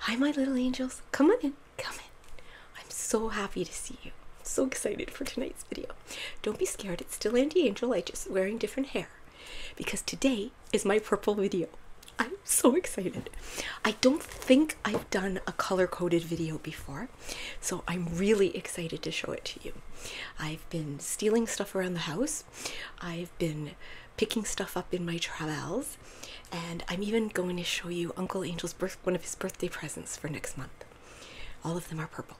Hi, my little angels. Come on in. Come in. I'm so happy to see you. so excited for tonight's video. Don't be scared. It's still Andy Angel. I just wearing different hair because today is my purple video. I'm so excited. I don't think I've done a color coded video before, so I'm really excited to show it to you. I've been stealing stuff around the house. I've been picking stuff up in my travels, and I'm even going to show you Uncle Angel's one of his birthday presents for next month. All of them are purple.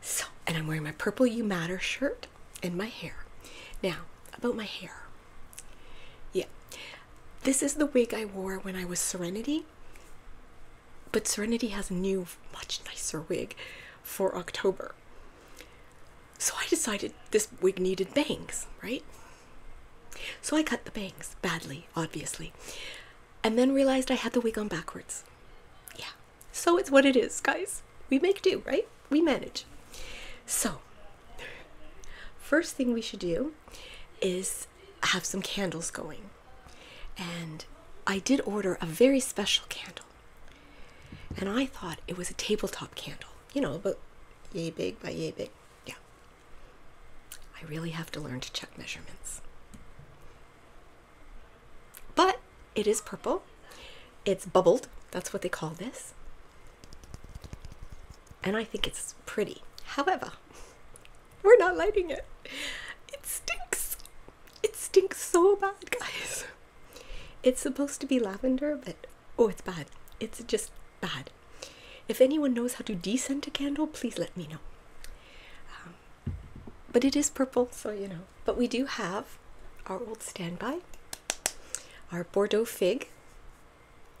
So, and I'm wearing my purple You Matter shirt and my hair. Now, about my hair. Yeah, this is the wig I wore when I was Serenity, but Serenity has a new, much nicer wig for October. So I decided this wig needed bangs, right? So I cut the bangs badly, obviously, and then realized I had the wig on backwards. Yeah, so it's what it is, guys. We make do, right? We manage. So, first thing we should do is have some candles going. And I did order a very special candle. And I thought it was a tabletop candle, you know, but yay big by yay big. Yeah. I really have to learn to check measurements. But it is purple. It's bubbled. That's what they call this. And I think it's pretty. However, we're not lighting it. It stinks. It stinks so bad, guys. It's supposed to be lavender, but oh, it's bad. It's just bad. If anyone knows how to descent a candle, please let me know. Um, but it is purple, so you know. But we do have our old standby, our Bordeaux fig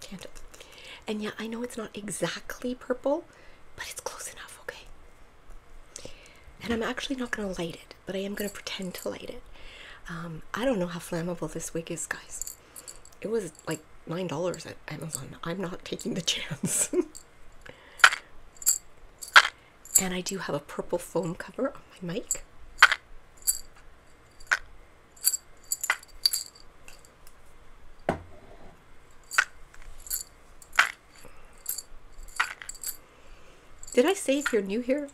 candle. And yeah, I know it's not exactly purple, but it's close enough, okay? And I'm actually not going to light it, but I am going to pretend to light it. Um, I don't know how flammable this wig is, guys. It was like nine dollars at Amazon. I'm not taking the chance. and I do have a purple foam cover on my mic. Did I say if you're new here?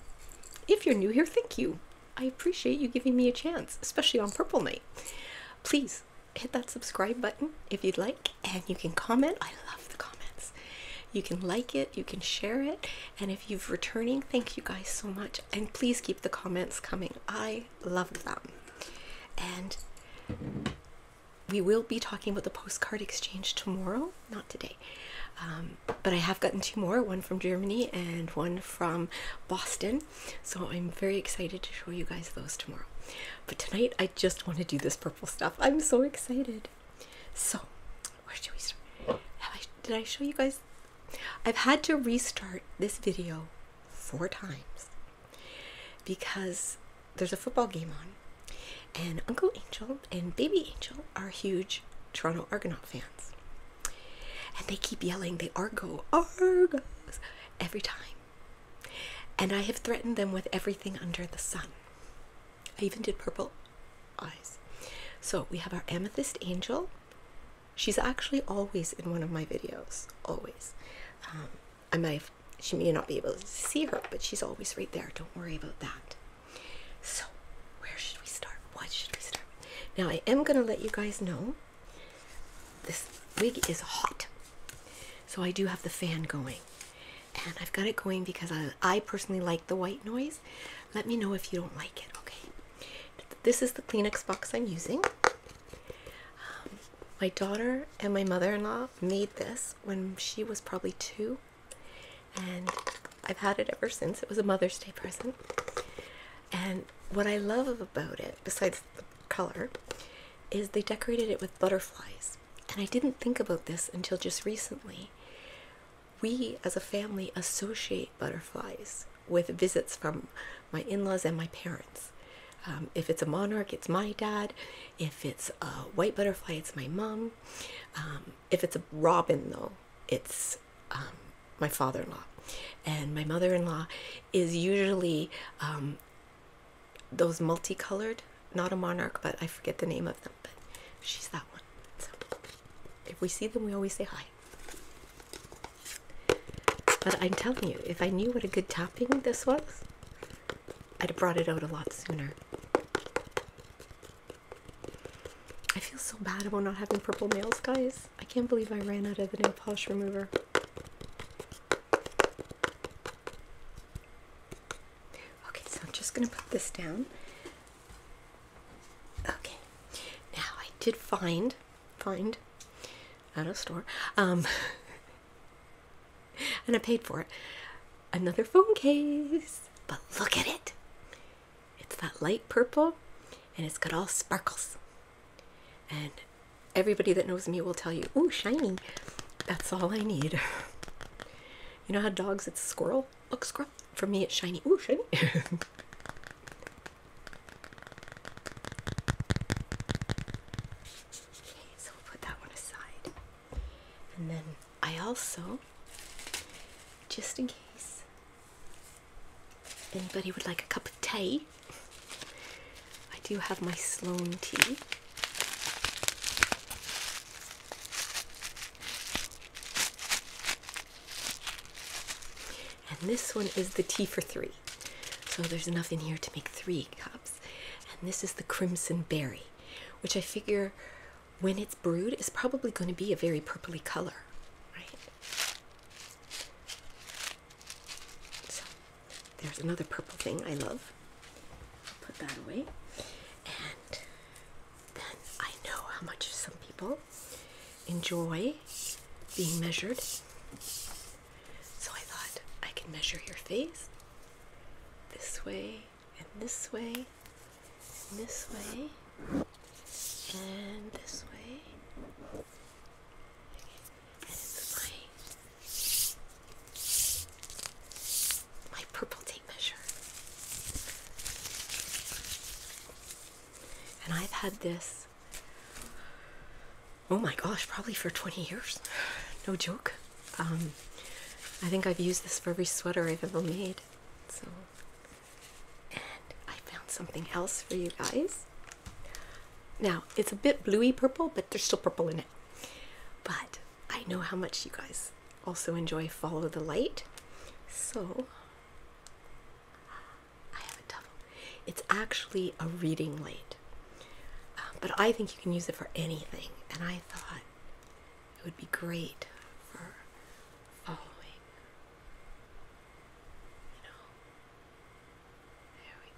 If you're new here, thank you. I appreciate you giving me a chance, especially on Purple Night. Please hit that subscribe button if you'd like, and you can comment. I love the comments. You can like it, you can share it, and if you are returning, thank you guys so much. And please keep the comments coming. I love them. And we will be talking about the postcard exchange tomorrow, not today. Um, but I have gotten two more one from Germany and one from Boston. So I'm very excited to show you guys those tomorrow. But tonight I just want to do this purple stuff. I'm so excited. So, where should we start? did I show you guys? I've had to restart this video four times because there's a football game on, and Uncle Angel and Baby Angel are huge Toronto Argonaut fans. And they keep yelling, they argo, argos, every time. And I have threatened them with everything under the sun. I even did purple eyes. So we have our amethyst angel. She's actually always in one of my videos, always. Um, I might have, she may not be able to see her, but she's always right there. Don't worry about that. So, where should we start? What should we start? Now, I am going to let you guys know this wig is hot. So I do have the fan going. And I've got it going because I, I personally like the white noise. Let me know if you don't like it, okay? This is the Kleenex box I'm using. Um, my daughter and my mother-in-law made this when she was probably two. And I've had it ever since. It was a Mother's Day present. And what I love about it, besides the color, is they decorated it with butterflies. And I didn't think about this until just recently. We as a family associate butterflies with visits from my in laws and my parents. Um, if it's a monarch, it's my dad. If it's a white butterfly, it's my mom. Um, if it's a robin, though, it's um, my father-in-law and my mother-in-law is usually um, those multicolored not a monarch but i forget the name of them but she's that one so if we see them we always say hi but i'm telling you if i knew what a good topping this was i'd have brought it out a lot sooner i feel so bad about not having purple nails guys I can't believe I ran out of the nail polish remover. Okay, so I'm just going to put this down. Okay, now I did find, find, at a store, um, and I paid for it, another phone case, but look at it. It's that light purple, and it's got all sparkles. And everybody that knows me will tell you, "Ooh, shiny! That's all I need." you know how dogs, it's squirrel. Look, squirrel. For me, it's shiny. Ooh, shiny. Okay, so we'll put that one aside. And then I also, just in case, Anybody would like a cup of tea? I do have my Sloan tea. And this one is the tea for three. So there's enough in here to make three cups. And this is the crimson berry, which I figure when it's brewed is probably going to be a very purpley color, right? So there's another purple thing I love. Put that away. And then I know how much some people enjoy being measured. So I thought I could measure your face this way and this way and this way and this way and my purple tape measure. And I've had this oh my gosh, probably for 20 years. No joke. Um, I think I've used this for every sweater I've ever made. I found something else for you guys. Now, it's a bit bluey purple, but there's still purple in it. But I know how much you guys also enjoy Follow the Light. So, I have a double. It's actually a reading light. Uh, but I think you can use it for anything. And I thought it would be great for following. You know, there we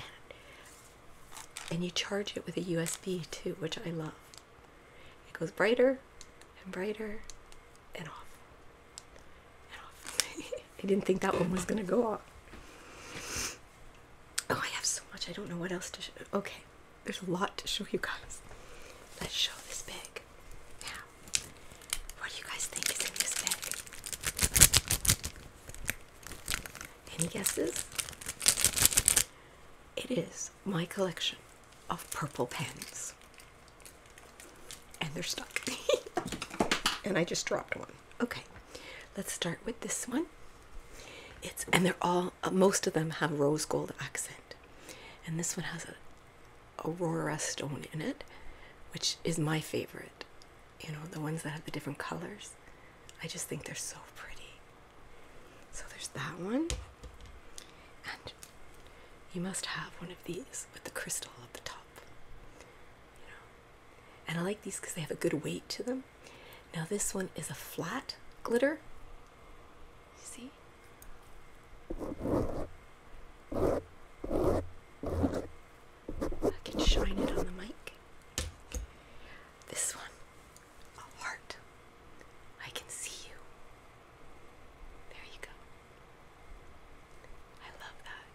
go. Yeah. And, you charge it with a USB too, which I love. It goes brighter and brighter and off. And off. I didn't think that one was going to go off. Oh, I have so much. I don't know what else to Okay. There's a lot to show you guys. Let's show this bag. Yeah. What do you guys think is in this bag? Any guesses? It is my collection of purple pens. And they're stuck. and I just dropped one. Okay, let's start with this one. It's and they're all most of them have rose gold accent, and this one has a Aurora stone in it, which is my favorite. You know, the ones that have the different colors. I just think they're so pretty. So there's that one. And you must have one of these with the crystal at the top. You know. And I like these because they have a good weight to them. Now this one is a flat glitter. see? I can shine it on the mic. This one, a heart. I can see you. There you go. I love that.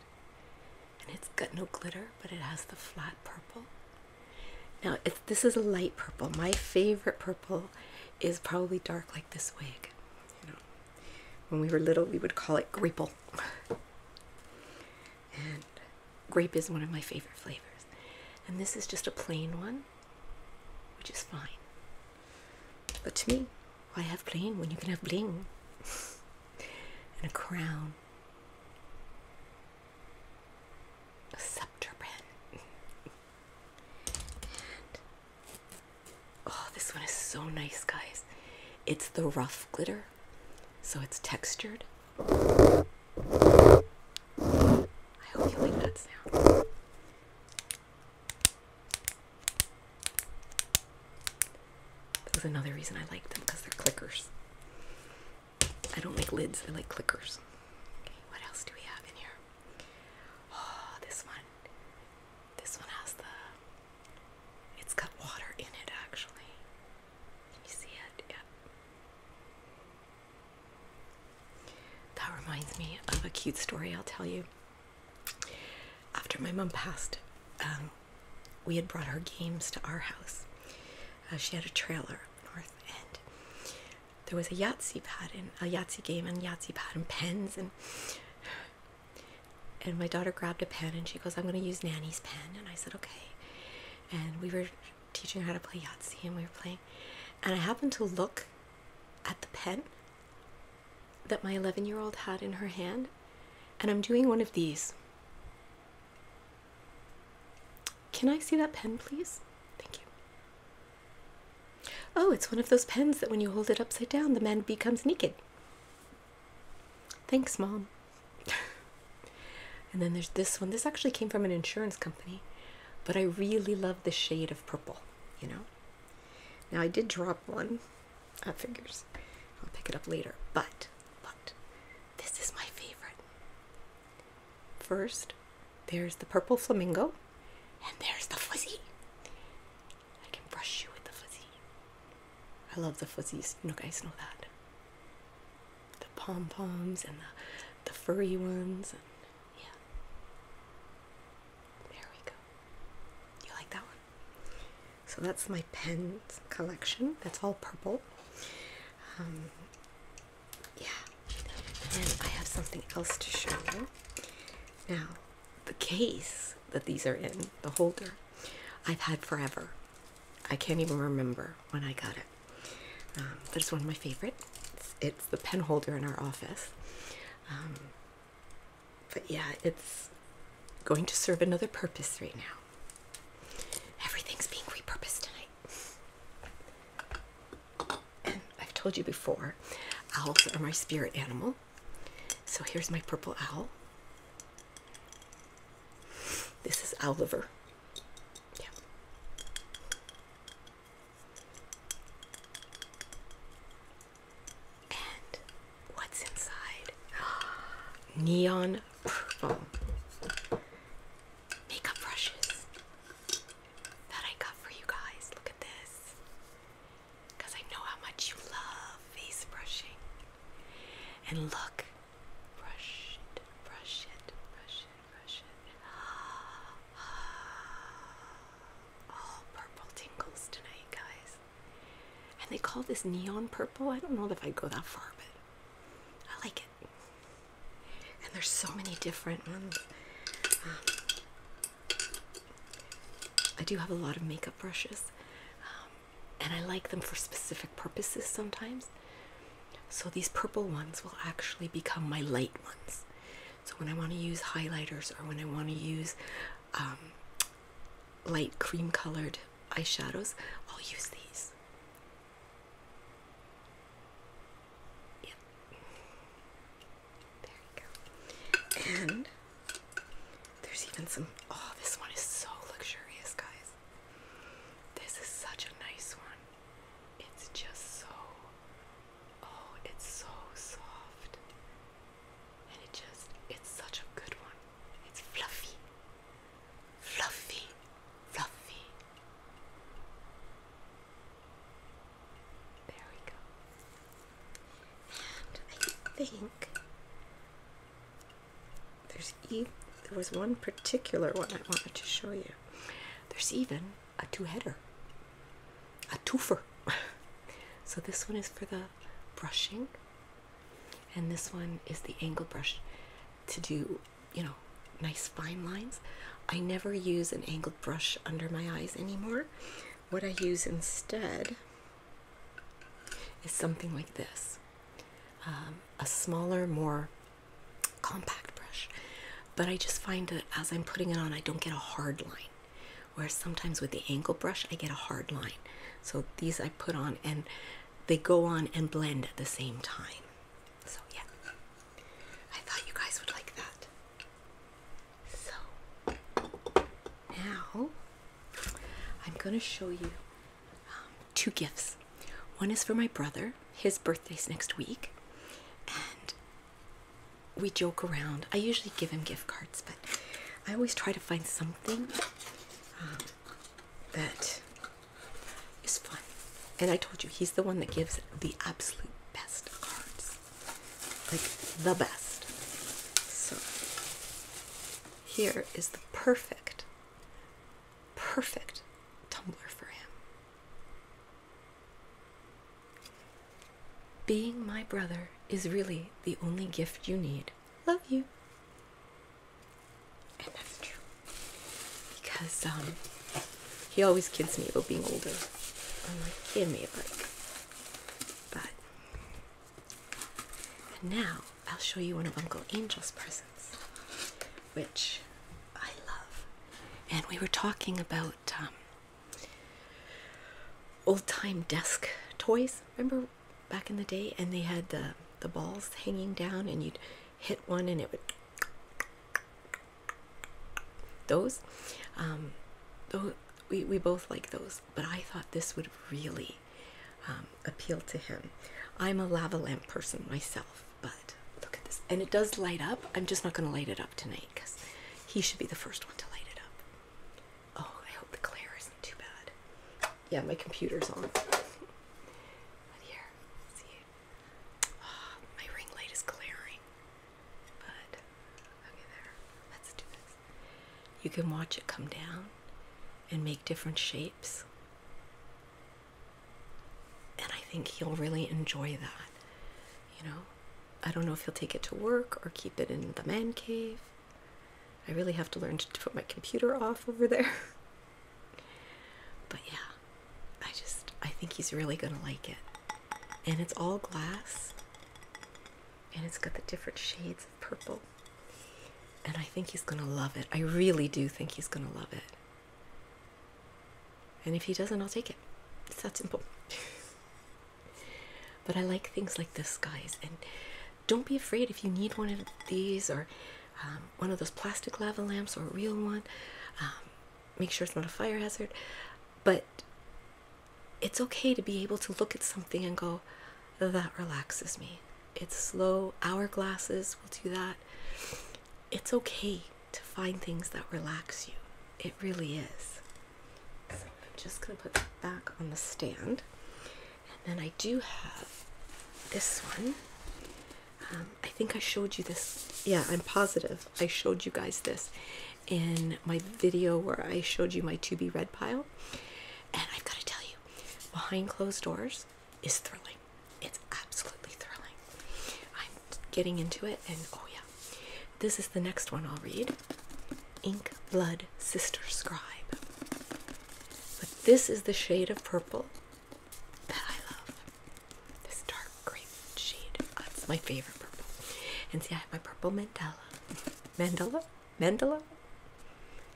And it's got no glitter, but it has the flat purple. Now, this is a light purple. My favorite purple is probably dark, like this wig. You know, when we were little, we would call it grapple. and grape is one of my favorite flavors. And this is just a plain one, which is fine. But to me, why have plain when you can have bling and a crown? A scepter Oh, this one is so nice, guys. It's the rough glitter, so it's textured. I hope you like that sound. That another reason I like them because they're clickers. I don't like lids, I like clickers. Okay, what else do we have in here? Oh, this one this one has the. It's got water in it actually. Can you see it? Yeah. That reminds me of a cute story I'll tell you. After my mom passed, um, we had brought her games to our house. Uh, she had a trailer north, end. there was a Yahtzee pad and a Yahtzee game and Yahtzee pad and pens and and my daughter grabbed a pen and she goes, I'm going to use Nanny's pen. And I said, okay. And we were teaching her how to play Yahtzee and we were playing. And I happened to look at the pen that my 11 year old had in her hand. And I'm doing one of these. Can I see that pen, please? Thank you. Oh, it's one of those pens that when you hold it upside down, the man becomes naked. Thanks, Mom. and then there's this one. This actually came from an insurance company, but I really love the shade of purple, you know? Now, I did drop one. That figures. I'll pick it up later. But, but, this is my favorite. First, there's the purple flamingo, and there's the fuzzy. I can brush you with the fuzzy. I love the fuzzies. You guys know that. The pom poms and the, the furry ones. And yeah. There we go. You like that one? So that's my pen collection. That's all purple. Um, yeah. And I have something else to show you. Now, the case that these are in, the holder, I've had forever. I can't even remember when I got it. Um, but it's one of my favorites. It's, the pen holder in our office. Um, but yeah, it's going to serve another purpose right now. Everything's being repurposed tonight. And I've told you before, owls are my spirit animal. So here's my purple owl. This is Oliver. Yeah. And what's inside? Neon purple makeup brushes that I got for you guys. Look at this because I know how much you love face brushing. And look, brush it, brush it, brush it, brush it. All purple tingles tonight, guys. And they call this neon purple. I don't know if i go that far, but I like it. And there's so many different ones. Um, I do have a lot of makeup brushes, um, and I like them for specific purposes sometimes. So these purple ones will actually become my light ones. So when I want to use highlighters or when I want to use um, light cream colored eyeshadows, I'll use these. Yeah. There you go. And there's even some. Oh, this one is so luxurious, guys. This is such a nice one. It's just so. Oh, it's so soft. And it just. It's such a good one. It's fluffy. Fluffy. Fluffy. There we go. And I think there's e there was one particular one I wanted to show you. There's even a two-header, a twofer. so this one is for the brushing, and this one is the angle brush to do, you know, nice fine lines. I never use an angled brush under my eyes anymore. What I use instead is something like this um, a smaller, more compact brush. But I just find that as I'm putting it on, I don't get a hard line. Whereas sometimes with the angle brush, I get a hard line. So these I put on and they go on and blend at the same time. So, yeah, I thought you guys would like that. So, now I'm going to show you um, two gifts. One is for my brother, his birthday's next week, and we joke around. I usually give him gift cards, but I always try to find something um, that is fun. And I told you, he's the one that gives the absolute best cards like the best. So here is the perfect, perfect tumbler for him. Being my brother is really the only gift you need. Love you. And that's true. Because um he always kids me about being older. I'm like, give me a break. But and now I'll show you one of Uncle Angel's presents, which I love. And we were talking about um, old time desk toys, remember back in the day? And they had the, the balls hanging down, and you'd hit one and it would. Those, um, those we, we both like those, but I thought this would really um, appeal to him. I'm a lava lamp person myself, but look at this. And it does light up. I'm just not going to light it up tonight because he should be the first one to light it up. Oh, I hope the glare isn't too bad. Yeah, my computer's on. here, see, oh, my ring light is glaring. But okay, there. Let's do this. You can watch it come down and make different shapes. And I think he'll really enjoy that. You know, I don't know if he'll take it to work or keep it in the man cave. I really have to learn to put my computer off over there. but yeah, I just, I think he's really gonna like it. And it's all glass and it's got the different shades of purple. And I think he's going to love it. I really do think he's going to love it. And if he doesn't, I'll take it. It's that simple. but I like things like this, guys. And don't be afraid if you need one of these or um, one of those plastic lava lamps or a real one. Um, make sure it's not a fire hazard. But it's okay to be able to look at something and go, that relaxes me. It's slow. Hourglasses will do that. It's okay to find things that relax you. It really is. So I'm just going to put that back on the stand. And then I do have this one. Um, I think I showed you this. Yeah, I'm positive. I showed you guys this in my video where I showed you my to be red pile. And I've got to tell you, behind closed doors is thrilling. It's absolutely thrilling. I'm getting into it, and oh yeah. This is the next one I'll read Ink Blood Sister Scribe. But this is the shade of purple that I love. This dark grape shade. That's my favorite purple. And see, I have my purple mandala. mandala? Mandela?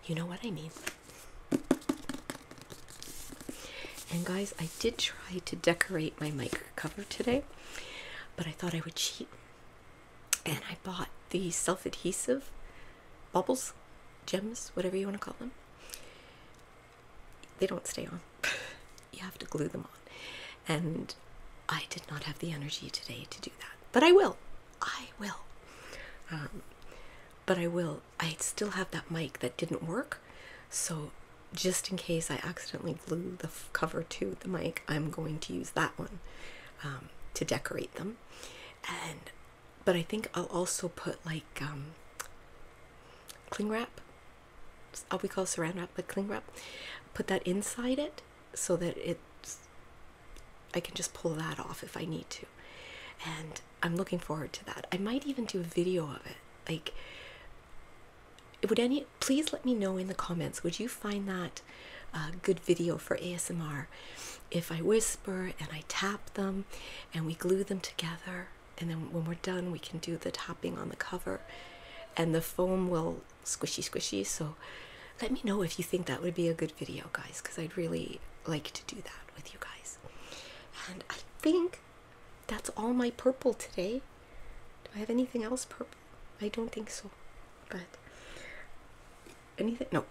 You know what I mean. And guys, I did try to decorate my mic cover today, but I thought I would cheat. And I bought the self adhesive bubbles, gems, whatever you want to call them. They don't stay on, you have to glue them on. And I did not have the energy today to do that, but I will. I will. Um, but I will. I still have that mic that didn't work, so just in case I accidentally glue the cover to the mic, I'm going to use that one um, to decorate them. And but I think I'll also put like um, cling wrap. I'll uh, we call saran wrap, but cling wrap. Put that inside it so that it's I can just pull that off if I need to. And I'm looking forward to that. I might even do a video of it. Like would any please let me know in the comments would you find that a good video for ASMR if I whisper and I tap them and we glue them together and then when we're done we can do the tapping on the cover and the foam will squishy squishy so let me know if you think that would be a good video guys because I'd really like to do that with you guys. And I think that's all my purple today. Do I have anything else purple? I don't think so. But anything? No.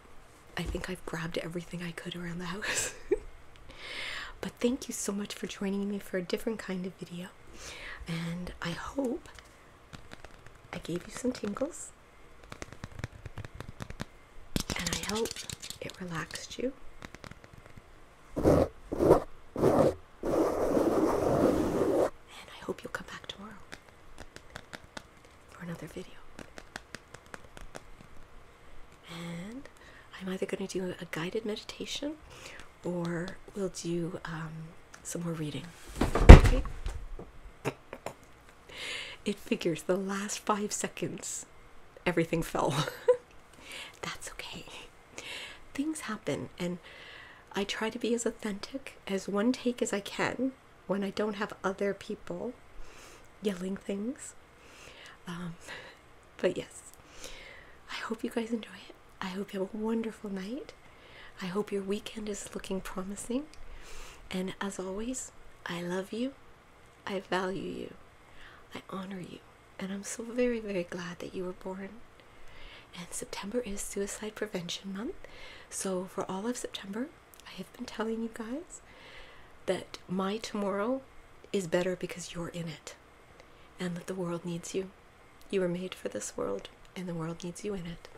I think I've grabbed everything I could around the house. but thank you so much for joining me for a different kind of video. And I hope I gave you some tingles. And I hope it relaxed you. And I hope you'll come back tomorrow for another video. And I'm either going to do a guided meditation or we'll do um, some more reading. It figures the last five seconds, everything fell. That's okay. Things happen, and I try to be as authentic as one take as I can when I don't have other people yelling things. Um, but yes, I hope you guys enjoy it. I hope you have a wonderful night. I hope your weekend is looking promising. And as always, I love you I value you, I honor you, and I'm so very, very glad that you were born. And September is Suicide Prevention Month, so for all of September, I have been telling you guys that my tomorrow is better because you're in it and that the world needs you. You were made for this world, and the world needs you in it.